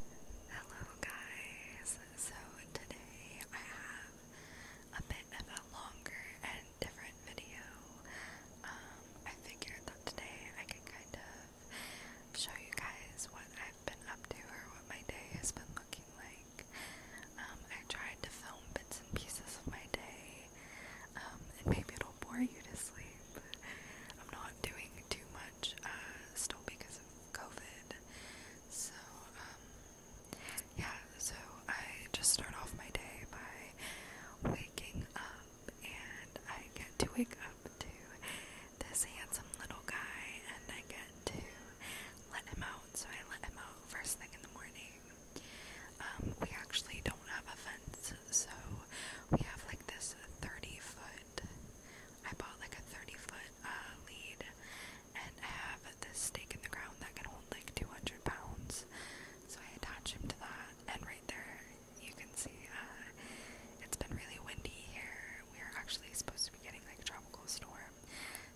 Hello guys, so today I have a bit of a longer and different video. Um, I figured that today I could kind of show you guys what I've been up to or what my day has been looking like. Um, I tried to film bits and pieces of my day, and maybe it'll bore you to sleep. I'm not doing too much, uh, still because COVID. So, um, yeah, so I just start off my day by waking up, and I get to wake up to this handsome little guy, and I get to let him out. So, I let him out first thing in the morning. Um, we actually don't have a fence, so we have like this 30 foot. I bought like a 30 foot uh, lead and have this stake in the ground that can hold like 200 pounds. So I attach him to that, and right there you can see uh, it's been really windy here. We are actually supposed to be getting like a tropical storm,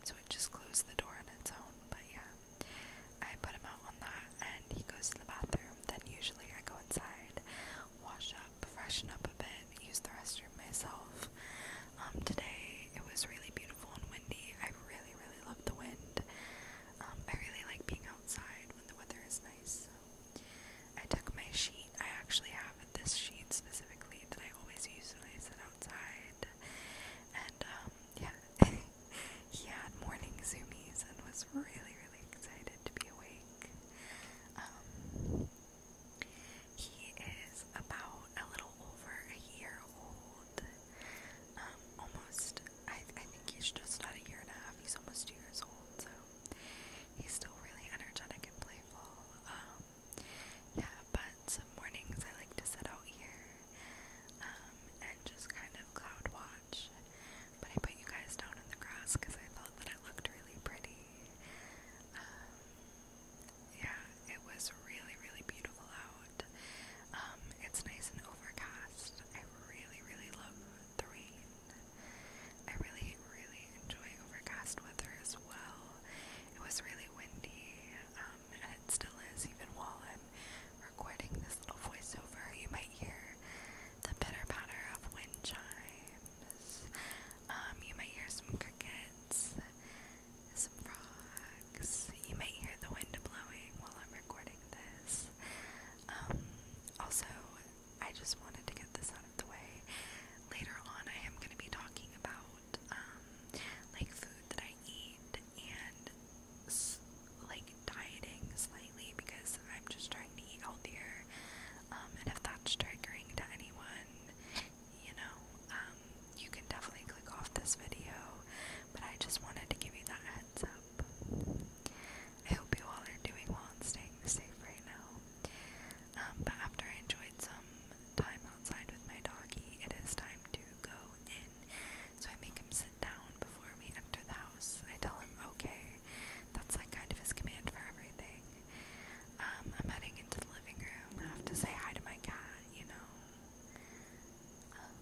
so it just closed the door on its own. But yeah, I put him out on that, and he goes to the bathroom. Then usually I go inside wash up, freshen up a bit, use the restroom myself. Um, today it was really beautiful and windy. I really, really love the wind. Um, I really like being outside when the weather is nice. I took my sheet. I actually have this sheet specifically that I always use when I sit outside. And um, yeah, he had morning zoomies and was really, really excited to be awake. He is about a little over a year old. Um, almost, I, think he's just not a year and a half. He's almost two years old, so he's still really energetic and playful. Um, yeah, but some mornings I like to sit out here um, and just kind of cloud watch. But I put you guys down in the grass because I thought that it looked really pretty. Um, yeah, it was really, really beautiful out. Um, it's nice and overcast. I really, really love the rain. I really, really enjoy overcast weather as well. It was really windy, um, and it still is, even while I'm recording this little voiceover. You might hear the pitter patter of wind chimes. Um, you might hear some crickets, some frogs. You might hear the wind blowing while I'm recording this. Um, also, I just wanted to get this out of the way. Later on, I am going to be talking about um, like food that I eat and like dieting slightly because I'm just trying to eat healthier. Um, and if that's triggering to anyone, you know, um, you can definitely click off this video, but I just wanted to give you that heads up. I hope you all are doing well and staying safe right now. Um, but after I enjoyed some time outside with my doggy, it is time to go in. So I make him sit down before we enter the house. I tell him, okay, that's like kind of his command for everything. Um, I'm heading into the living room. I have to say hi to my cat, you know. Um,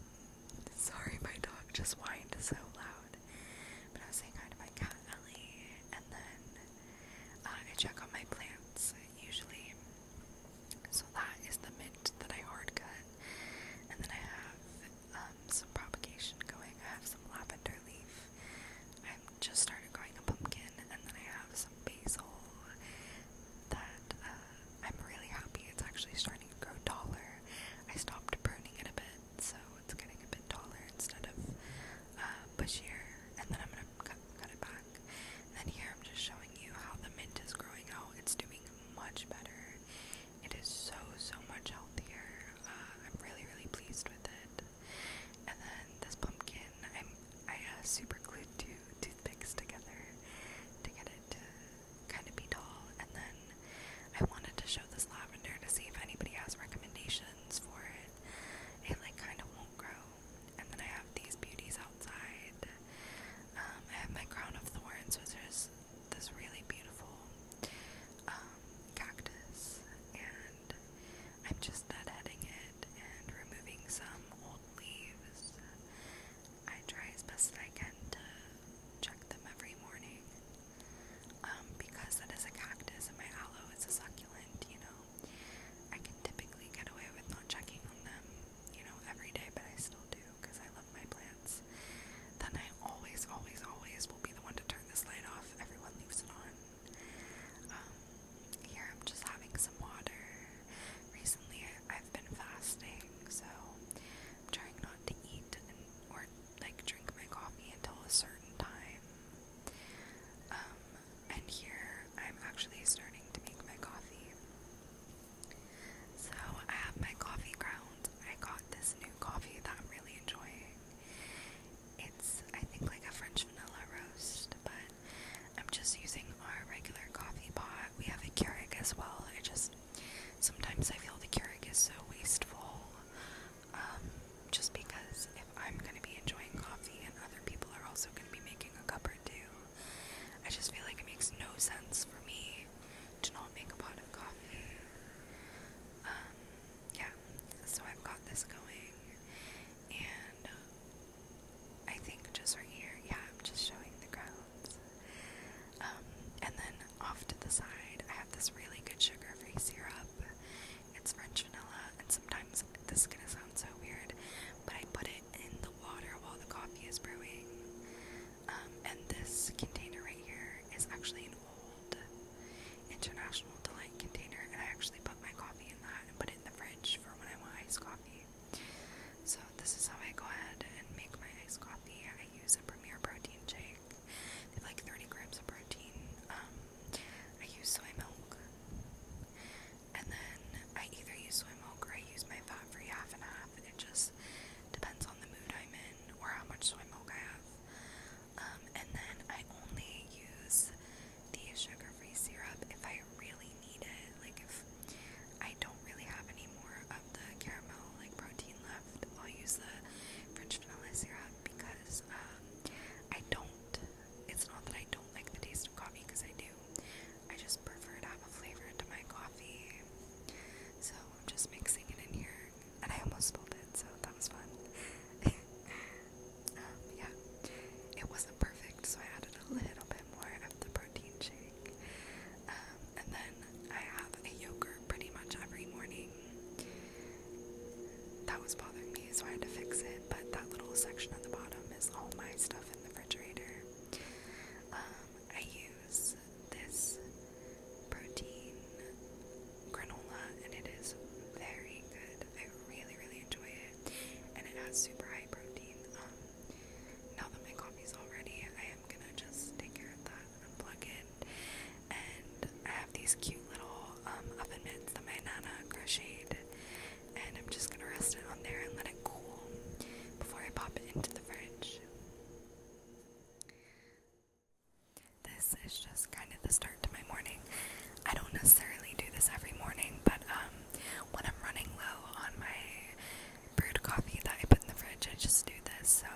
sorry, my dog just whined so loud. But I was saying hi to my cat, Ellie, and then uh, I check on my plants usually. So that is the mint that I hard cut. And then I have um, some propagation going. I have some lavender leaf I've just started growing a pumpkin, and then I have some basil that uh, I'm really happy it's actually starting to grow taller. I stopped pruning it a bit, so it's getting a bit taller instead of uh, bushier, and then I'm gonna cut, it back. And then here I'm just showing you how the mint is growing out. It's doing much better. It is so so much healthier. Uh, I'm really really pleased with it. And then this pumpkin, I'm, I uh, super glued two toothpicks together to get it to kind of be tall. And then I wanted to show this lavender to see if anybody has recommendations for it. It like kind of won't grow. And then I have these beauties outside. Um, I have my crown of thorns, which is this really beautiful um, cactus, and I'm just deadheading it and removing some old leaves. I try as best I can to check them every morning. Um, because that is a cactus and my aloe is a succulent, you know, I can typically get away with not checking on them, you know, every day, but I still do because I love my plants. Then I always, always, always will be the one to turn this light off. Everyone leaves it on. Um, here I'm just having some water. Recently I've been fasting, so I'm trying not to eat or like drink my coffee until a certain time. Um, and here I'm actually starting to make my coffee. So I have my coffee ground. I got this new coffee that I'm really enjoying. It's, I think, like a French vanilla roast, but I'm just using our regular coffee pot. We have a Keurig as well. I just, sometimes I feel the Keurig is so wasteful, um, just because if I'm going to be enjoying coffee and other people are also going to be making a cup or two, I just feel like it makes no sense for me to not make a pot of coffee. Um, yeah, so I've got this going, and I think just right here. Yeah, I'm just showing the grounds. Um, and then off to the side, I have this really good sugar-free syrup. It's French vanilla, and sometimes this is gonna sound so weird, but I put it in the water while the coffee is brewing. Um, and this container right here is actually an old International Delight container, and I actually put my coffee in that and put it in the fridge for when I want iced coffee. So this is how I go ahead and make my iced coffee. I use a Premier protein shake. They have like 30 grams of protein. Um, I use soy milk. And then I either use soy milk or I use my fat-free half and half. It just depends on the mood I'm in or how much soy milk I have. Um, and then I only use the sugar-free syrup if I really need it. Like if I don't really have any more of the caramel like protein left, I'll use the French vanilla syrup because um, I don't. It's not that I don't like the taste of coffee because I do. I just prefer to have a flavor to my coffee. So I'm just mixing it in here, and I almost spilled it, so that was fun. yeah, it wasn't perfect, so I added a little bit more of the protein shake. Um, and then I have a yogurt pretty much every morning. That was bothering me, so I had to fix it. But that little section on the bottom is all my stuff in the refrigerator. Um, I use this protein granola, and it is very good. I really, really enjoy it, and it has super high protein. Um, now that my coffee's all ready, I am gonna just take care of that, unplug it, and I have these cute little um, oven mitts that my nana crocheted, and I'm just gonna rest it on there and let it cool before I pop it into the fridge. This is just kind of the start to my morning. I don't necessarily do this every morning, but um, when I'm running low on my brewed coffee that I put in the fridge, I just do this. So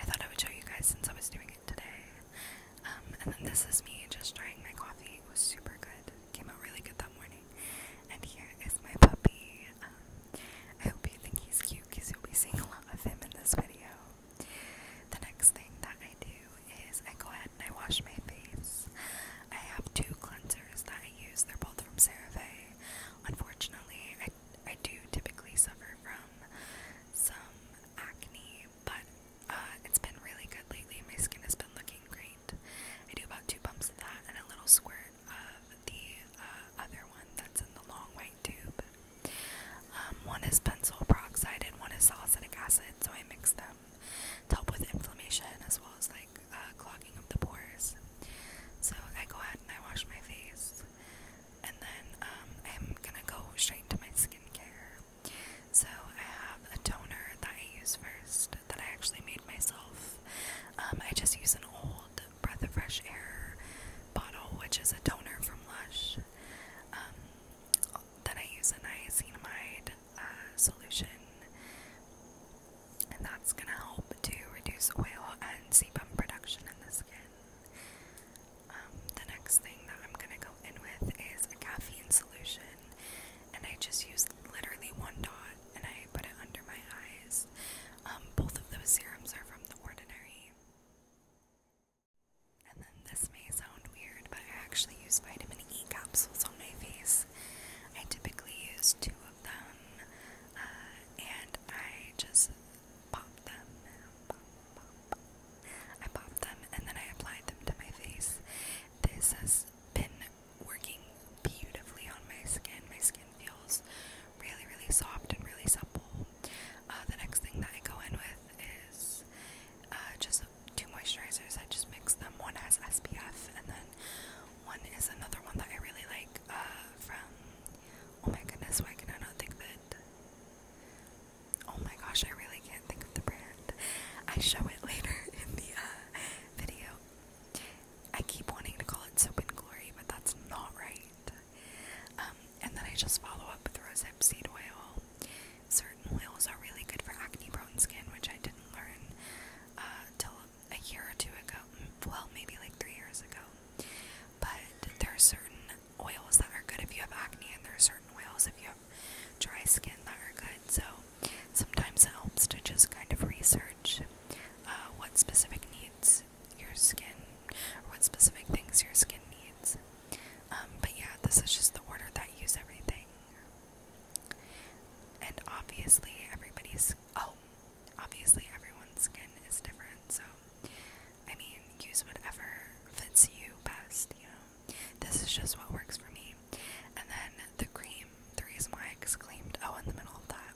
I thought I would show you guys since I was doing it today. Um, and then this is me just trying my coffee. It was super good. came out really good that morning. And here is my puppy. Um, I hope you think he's cute because you'll be seeing a lot of him in this video. The next thing that I do is I go ahead and I wash my face. I have two cleansers that I use. They're both from CeraVe. Unfortunately, I, I do typically suffer from some acne, but uh, it's been really good lately. My skin has been looking great. I do about two pumps of that and a little squirt of the uh, other one that's in the long white tube. Um, one is benzoyl peroxide and one is salicylic acid, so I mix them help with inflammation as well as like uh, clogging up the pores. So I go ahead and I wash my face, and then I'm um, gonna go straight to my skincare. So I have a toner that I use first that I actually made myself. Um, I just use an old Breath of Fresh Air bottle, which is a toner from Lush. Um, then I use a niacinamide uh, solution, and that's going to help to reduce oil and sebum production in the skin. Um, the next thing that I'm going to go in with is a caffeine solution, and I just use literally one dot and I put it under my eyes. Um, both of those serums are from The Ordinary. And then this may sound weird, but I actually use vitamin E capsules on my face. I typically use two of them, uh, and I just pop them. I pop them and then I apply them to my face. This has been working beautifully on my skin. My skin feels really, really soft and really supple. Uh, the next thing that I go in with is uh, just two moisturizers. I just mix them. One has SPF, and then one is another one that I really like uh, from. Oh my goodness, why can I not think of it? Oh my gosh, I really can't think of the brand. I show it later in the uh, video. I keep wanting to call it Soap and Glory, but that's not right. Um, and then I just follow up with rosehip seed oil. Certain oils are really good for acne prone skin, which I didn't learn uh, till a year or two ago. Well, maybe like three years ago. But there are certain oils that are good if you have acne, and there are certain oils if you have dry skin that are good. So sometimes it helps to just kind of research uh, what specific needs your skin, or what specific things your skin needs. Um, but yeah, this is just the order that I use everything. And obviously, everybody's oh, obviously, everyone's skin is different, so I mean, use whatever fits you best, you know. This is just what works for me. And then the cream, the reason why I exclaimed, oh, in the middle of that,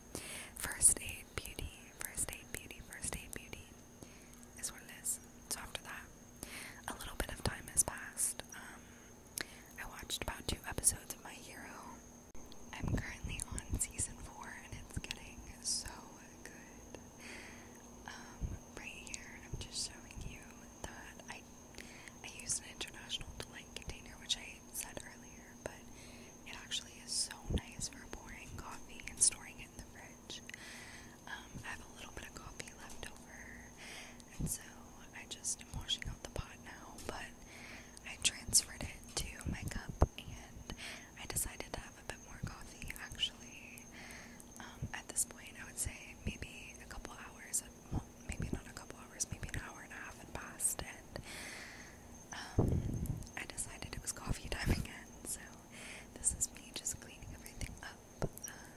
first aid beauty, first aid beauty, first aid beauty is where it is. So after that, a little bit of time has passed. Um, I watched about two episodes of My Hero. I'm currently on season four and it's getting so good. Um, right here, I'm just showing you that I I used an international delight container, which I said earlier, but it actually is so nice for pouring coffee and storing it in the fridge. Um, I have a little bit of coffee left over and so I just am washing out the pot now, but I transferred it to my cup and I decided to have a bit more coffee actually. Um, at this point, I would say maybe a couple hours, well, maybe not a couple hours, maybe an hour and a half had passed, and um, I decided it was coffee time again. So, this is me just cleaning everything up. Um,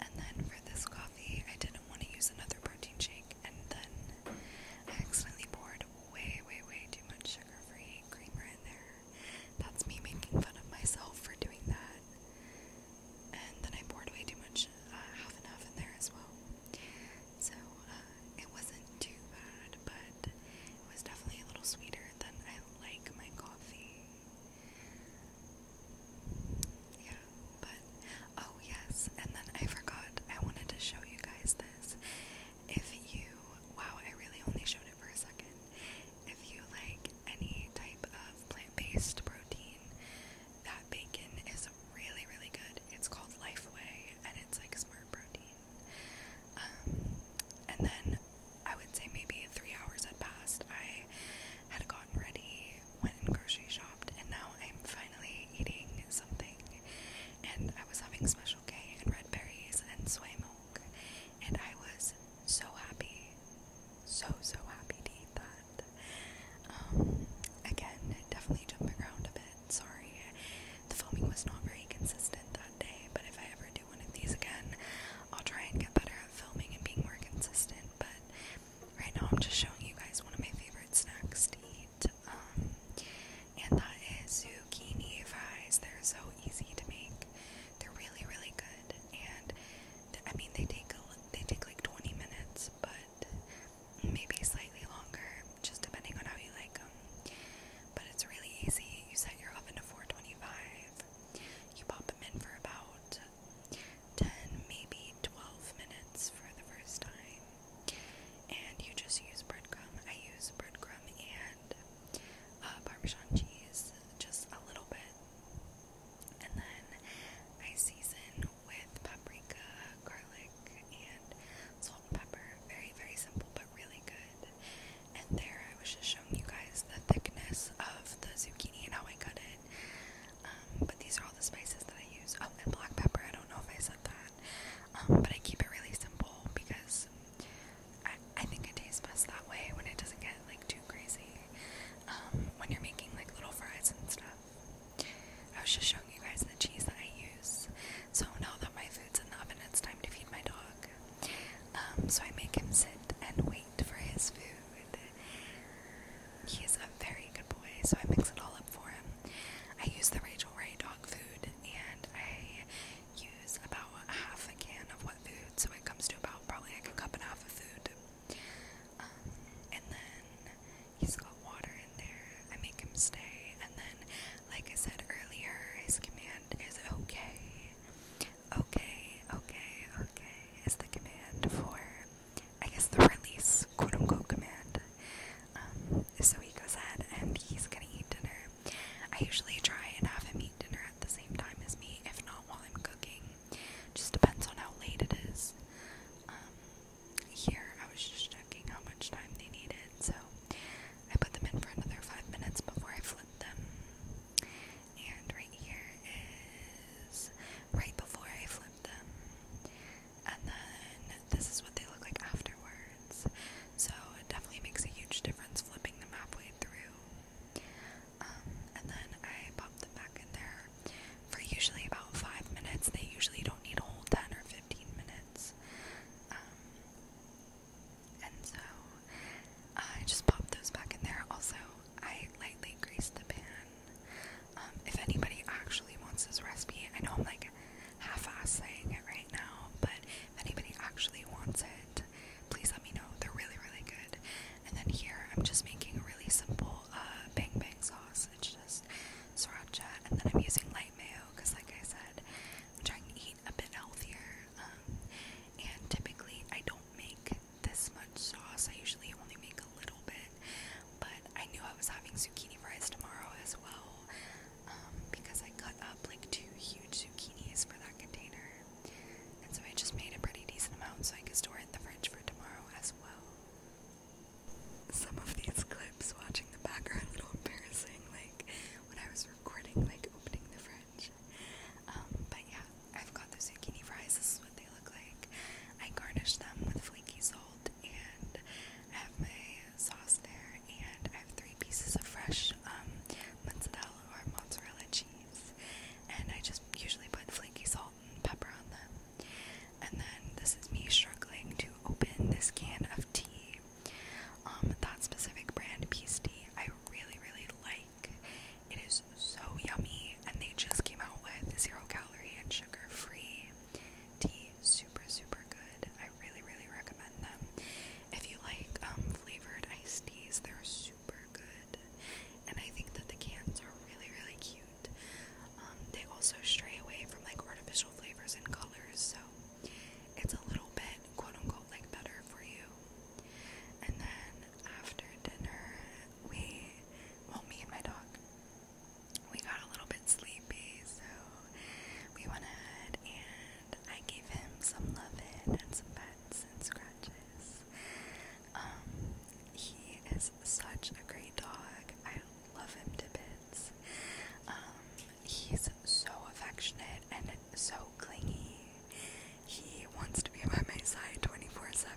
and then for this coffee, I didn't want to use another protein shake, and then I accidentally poured way, way, way too much sugar free creamer in there. That's me making fun of myself for doing that. And then I poured way too much uh, half and half in there as well. So uh, it wasn't too bad, but it was definitely a little sweeter than I like my coffee. Yeah, but oh yes, and then I forgot I wanted to show you guys this. If you wow, I really only showed it for a second. If you like any type of plant-based protein, that bacon is really, really good. It's called Lifeway and it's like smart protein. Um, and then I would say maybe three hours had passed. I had a ready, went grocery shopped, and now I'm finally eating something. And I was having Special K and red berries and soy and I was so happy, so so happy to eat that. Um, again, definitely jumped around a bit. Sorry, the filming was not very consistent that day, but if I ever do one of these again, I'll try and get better at filming and being more consistent. But Right now, I'm just showing you guys one of my favorite snacks to eat, um, and that is zucchini fries. They're so easy to make. They're really, really good, and th I mean, they take a, they take like 20 minutes, but maybe slightly longer, just depending on how you like them. But it's really easy. You set your oven to 425. You pop them in for about 10, maybe 12 minutes for the first time. And you just use breadcrumb. I use breadcrumb and uh, Parmesan cheese, just a little bit. And then I season with paprika, garlic, and salt and pepper. Very, very simple, but really good. And there I was just showing you guys the thickness of the zucchini and how I cut it. Um, but these are all the spices that I use. Oh, and black pepper. I don't know if I said that. Um, but I keep it really simple because I, think it tastes best that way when it doesn't get like too crazy. Um, when you're making like little fries and stuff. I was just showing you guys the cheese that I use. So now that my food's in the oven, it's time to feed my dog. so I make him sit and wait for his food. He is a very good boy, so I mix it all up for him. I use the Rachel Ray dog food, and I use about half a can of wet food, so it comes to about probably like a cup and a half of food. Um, and then he's got water in there. I make him stay, and then, like I said earlier, his command is okay. Okay, okay, okay is the command for I guess the release quote unquote command. Um, so he goes ahead and he's gonna eat dinner. I usually try and have him eat dinner at the same time as me, if not while I'm cooking. Just depends on how late it is. Um, here I was just checking how much time they needed, so I put them in for another five minutes before I flip them. And right here is right before I flip them and then this is what they look like afterwards. So it definitely makes a huge difference flipping them halfway through. Um, and then I pop them back in there for usually about five minutes. They usually don't need a whole ten or fifteen minutes. Um, and so I just pop those back in there. Also, I lightly grease the pan. Um, if anybody actually wants this recipe, I know I'm like half-ass saying it right now, but if anybody actually wants it, please let me know. They're really, really good. And then here, I'm just making a really simple uh, bang bang sauce. It's just sriracha, and then I'm using light mayo because, like I said, I'm trying to eat a bit healthier. Um, and typically, I don't make this much sauce. I usually only make a little bit. But I knew I was having zucchini fries tomorrow as well um, because I cut up like two huge zucchinis for that container. And so I just made a pretty decent amount so I could store it in the fridge for tomorrow as well. Some of these clips watching the back a little embarrassing, like when I was recording, like opening the fridge. Um, but yeah, I've got the zucchini fries. This is what they look like. I garnished them with flaky salt and I have my sauce there and I have three pieces of fresh um, mozzarella or mozzarella cheese and I just usually put flaky salt and pepper on them and then this is me struggling to open this can of tea um, that specific brand peace tea I really really like it is so yummy and they just came out with zero calorie and sugar free tea. is Super, super good. I really, really recommend them. If you like um, flavored iced teas, they're super good. And I think that the cans are really, really cute. Um, they also stray away from like artificial flavors and colors, so it's a little bit quote unquote like better for you. And then after dinner, we, well, me and my dog, we got a little bit sleepy, so we went ahead and I gave him some loving and some pets and scratches. Um, he is such a great dog. I love him to bits. Um, he's so affectionate and so clingy. He wants to be by my side 24 7.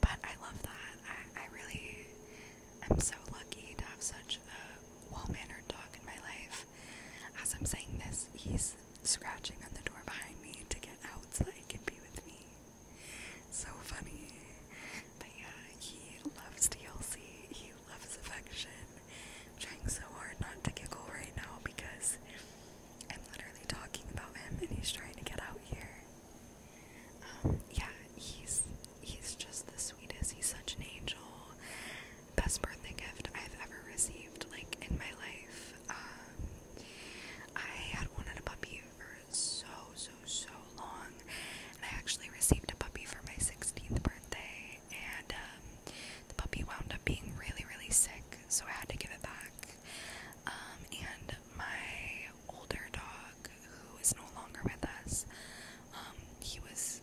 But I love that. I, I really I'm so lucky to have such a well mannered dog in my life. As I'm saying this, he's scratching on the door behind me to get out so that he can be with me. So funny. But he loves DLC, he loves affection. I'm trying so hard not to giggle right now because I'm literally talking about him and he's trying to get out here. Um, yeah, he's he's just the sweetest. He's such an angel. Best birthday gift I've ever received, like in my life. Um, I had wanted a puppy for so so so long, and I actually received a puppy for my 16th birthday, and um, the puppy wound up being really really sick, so I had to give it back. and my older dog who is no longer with us. Um, he was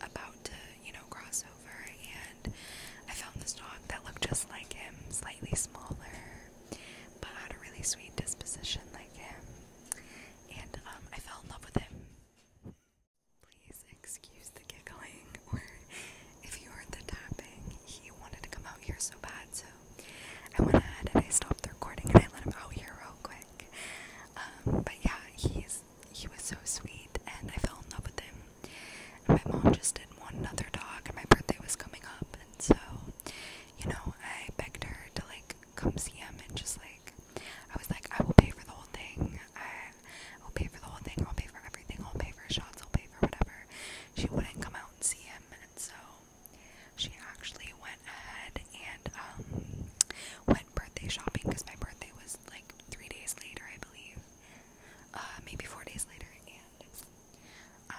about to, you know, cross over, and I found this dog that looked just like him, slightly smaller, but had a really sweet disposition like him. And um, I fell in love with him. Please excuse the giggling, or if you heard the tapping, he wanted to come out here so bad, so I went ahead and I stopped the recording and I let him out here real quick. Um, but yeah, he's he was so sweet and I fell in love with him. And my mom just didn't want another dog and my birthday was coming up and so, you know, I begged her to like come see him and just like I was like, I will pay for the whole thing. I will pay for the whole thing, I'll pay for everything, I'll pay for shots, I'll pay for whatever. She wouldn't come out and see him and so she actually went ahead and um, went birthday shopping because my birthday was like three days later, I believe, uh, maybe four days later, and uh,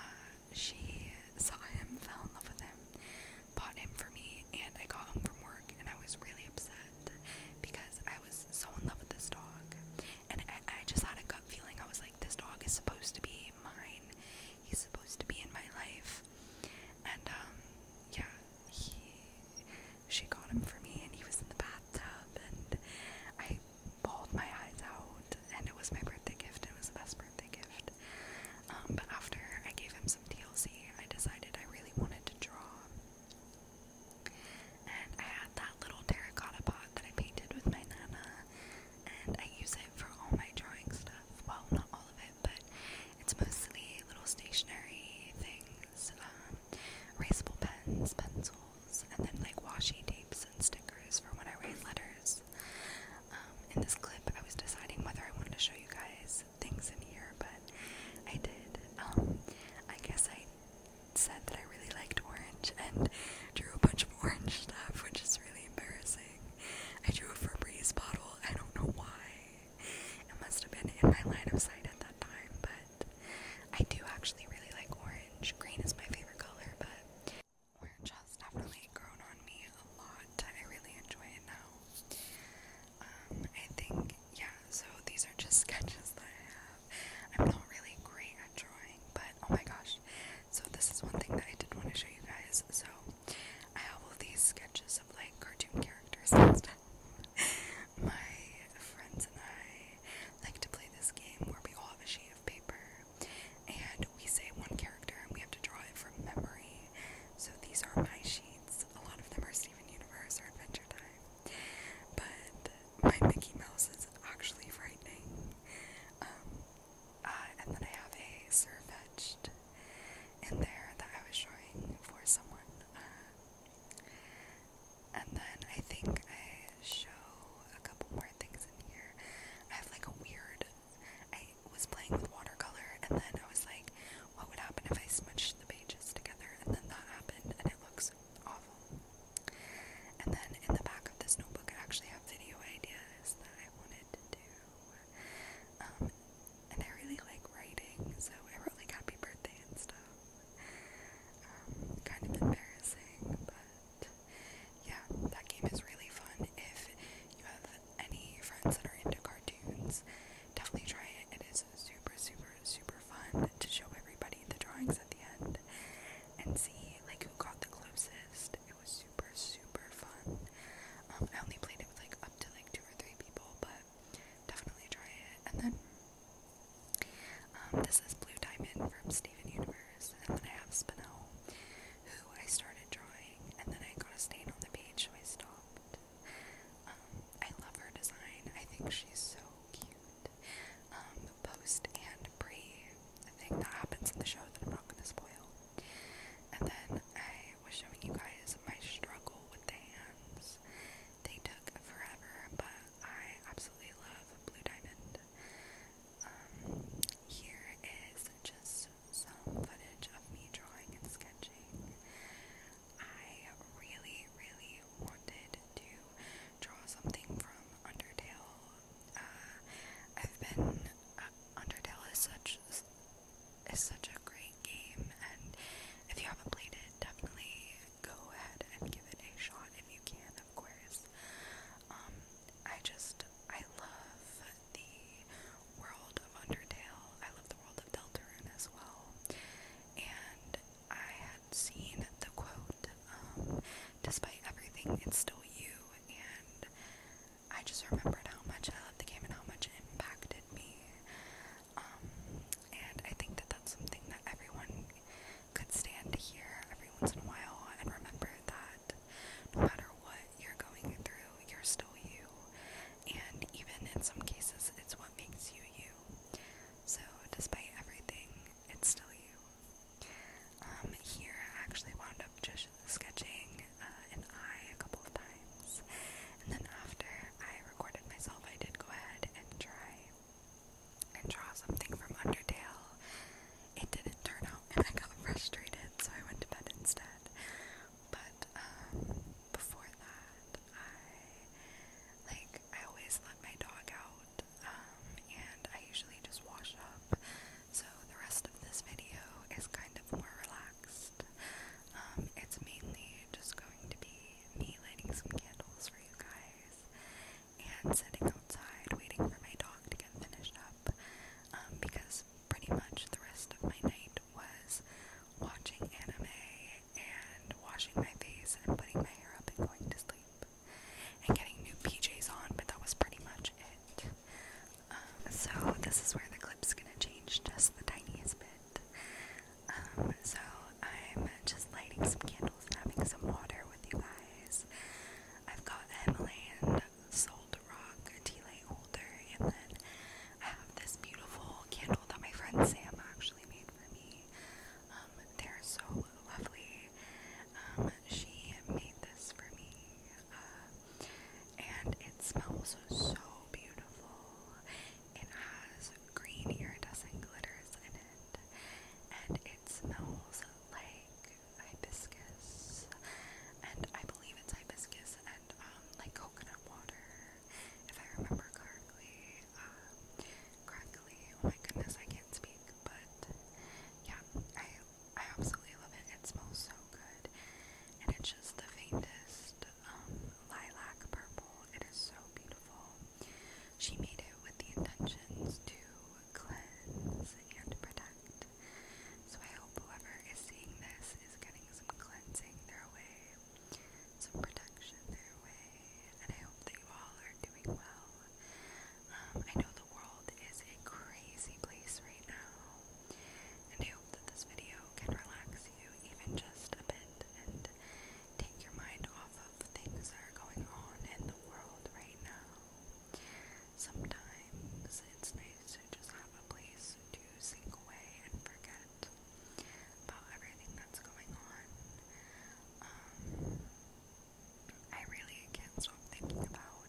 she saw him, fell in love with him, bought him for me, and I got home from work, and I was really upset because I was so in love with this dog, and I, I just had a gut feeling. I was like, this dog is supposed to be mine he's supposed to be in my life. And um, yeah, he she got him for me, and he was in the bathtub, and I bawled my eyes out, and it was my birthday gift. It was the best birthday gift. Um, but after I gave him some TLC, I decided I really wanted to draw. And I had that little terracotta pot that I painted with my nana, and I use it for all my drawing stuff. Well, not all of it it, but it's mostly little stationary things, um, erasable pens, pencils, and then like washi tapes and stickers for when I write letters. Um, in this clip, I was deciding whether I wanted to show you guys things in here, but I did. Um, I guess I said that I really liked orange and drew a bunch of orange stuff, which is really embarrassing. I drew a Febreze bottle. I don't know why. It must have been in my line of sight at that time, but I do actually really like orange. Green is my favorite color, but orange has definitely grown on me a lot. I really enjoy it now. Um, I think, yeah, so these are just sketches that I have. I'm not really great at drawing, but oh my gosh. So, this is one thing that I did want to show you guys. So, I have all these sketches of like cartoon characters and My friends and I like to play this game where we all have a sheet of paper and we say one character and we have to draw it from memory. So these are my sheets. A lot of them are Steven Universe or Adventure Time. But my Mickey Mouse is actually frightening. Um, uh, and then I have a surfetched in there that I was showing for someone. Uh, and then I think I show a couple more things in here. I have like a weird. I was playing with watercolor and then I was like, what would happen if I smudged the pages together? And then that happened and it looks awful. And then in the back of this notebook, I actually have video ideas that I wanted to do. Um, and I really like writing, so I wrote like happy birthday and stuff. Um, kind of embarrassing, but yeah, that game is really fun. If you have any friends that are into cartoons, definitely try it. It is super, super, super fun to show everybody the drawings at the end and see like who got the closest. It was super, super fun. Um, I only played it with like up to like two or three people, but definitely try it. And then um, this is Blue Diamond from Steven Universe, and then I have Spinel, who I started drawing, and then I got a stain on the page, so I stopped. Um, I love her design. I think she's so cute. Um, post and pre, thing that happens in the show that I'm not going to spoil. And then I was showing you guys my struggle with the hands. They took forever, but I absolutely love Blue Diamond. Um, here is just some footage of me drawing and sketching. I really, really wanted to draw something from Undertale. Uh, I've been uh, Undertale is such it's such a great game, and if you haven't played it, definitely go ahead and give it a shot if you can, of course. Um, I just, I love the world of Undertale. I love the world of Deltarune as well. And I had seen the quote, um, despite everything, it's still you, I just remember how much I loved the game and how much it impacted me. Um, and I think that that's something that everyone could stand to hear every once in a while and remember that no matter what you're going through, you're still you. And even in some cases, it's what makes you you. So, despite everything, it's still you. Um, here I actually wound up just sketching uh, an eye a couple of times. And then after I recorded myself, I did go ahead and try and draw something from Undertale. It didn't turn out, and I got frustrated, so I went to bed instead. But um, before that, I like I always let my dog out, um, and I usually just wash up. So the rest of this video is kind of more relaxed. Um, it's mainly just going to be me lighting some candles for you guys and sitting outside waiting for my dog to get finished up um, because pretty much the rest of my night was watching anime and washing my face and putting my hair up and going to sleep and getting new PJs on, but that was pretty much it so this is where the clip's gonna change just the tiniest bit. Um, so I'm just lighting some candles having some water with you guys. I've got a salt rock tea light holder, and then I have this beautiful candle that my friend Sam actually made for me. Um, they're so lovely. Um, she made this for me. Uh, and it smells so beautiful. It has green iridescent glitters in it. And it smells like hibiscus. And I believe it's hibiscus and um, like coconut water, if I remember correctly. Um, correctly. Oh my goodness, I can't speak. But yeah, I I absolutely love it. It smells so good. And it's just the faintest lilac purple. It is so beautiful. She made it with the intentions to cleanse and protect. So I hope whoever is seeing this is getting some cleansing their way, some protection their way, and I hope that you all are doing well. Um, I know the world is a crazy place right now. And I hope that this video can relax you even just a bit and take your mind off of things that are going on in the world right now. Sometimes it's nice to just have a place to sink away and forget about everything that's going on. Um, I really can't stop thinking about,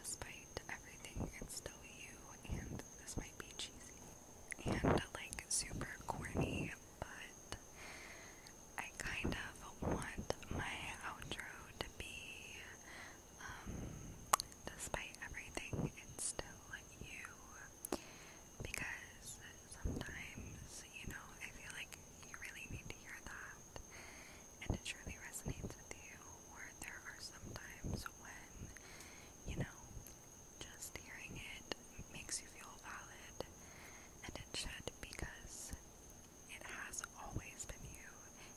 despite everything, it's still you and this might be cheesy and like super corny, but I kind of want my outro to be um, despite everything, it's still you. Because sometimes, you know, I feel like you really need to hear that. And it truly resonates with you or there are sometimes when, you know, just hearing it makes you feel valid, and it because it has always been you,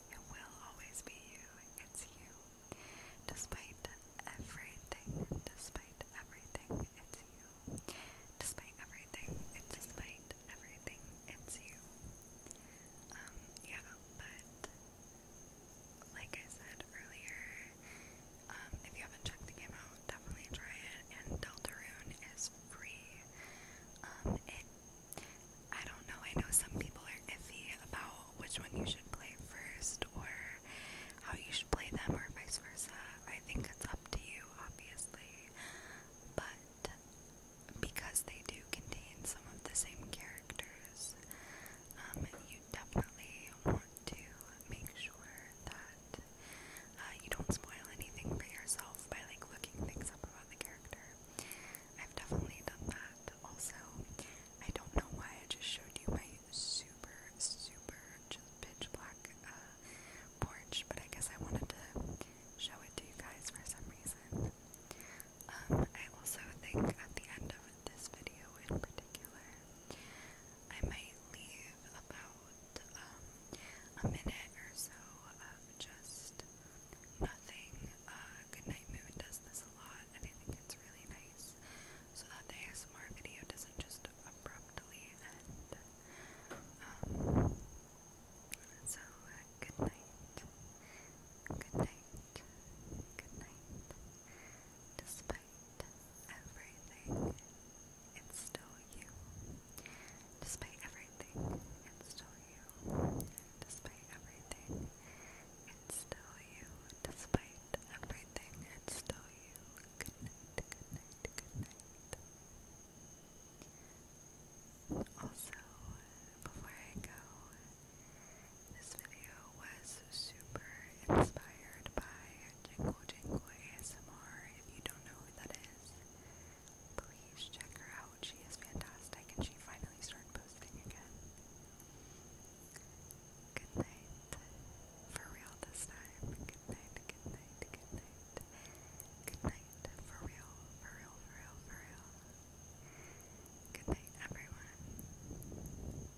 it will always be you, it's you. Despite everything, despite everything, it's you. Despite everything, it's despite everything, it's you. Um, yeah, but like I said earlier, um, if you haven't checked the game out, definitely try it. And Deltarune is free. Um, it, I don't know, I know some people are iffy about which one you should play first or how you should play them or vice versa. I think it's up to you, obviously. But because they do contain some of the same characters, um, definitely want to make sure that uh, you don't spoil anything for yourself by like looking things up about the character. I've definitely done that. Also, I don't know why I just showed you my super, super just pitch black uh, porch, but I guess I wanted to show it to you guys for some reason. Um, I also think at the end of this video in particular, I might leave about um, a minute or so of just nothing. Uh, Goodnight Moon does this a lot, and I think it's really nice so that the ASMR video doesn't just abruptly end. Um, so, uh, good night. Good night good night. Despite everything, it's still you. Despite everything, it's still you. Despite everything, it's still you. Despite everything, it's still you. Good night, good night, good night. Also, before I go, this video was super inspired by Jingle Jingle ASMR. If you don't know who that is, please check her out. She is fantastic and she finally started posting again. Good night. For real this time. Good night, good night, good night. Good night. For real, for real, for real, for real. Good night, everyone.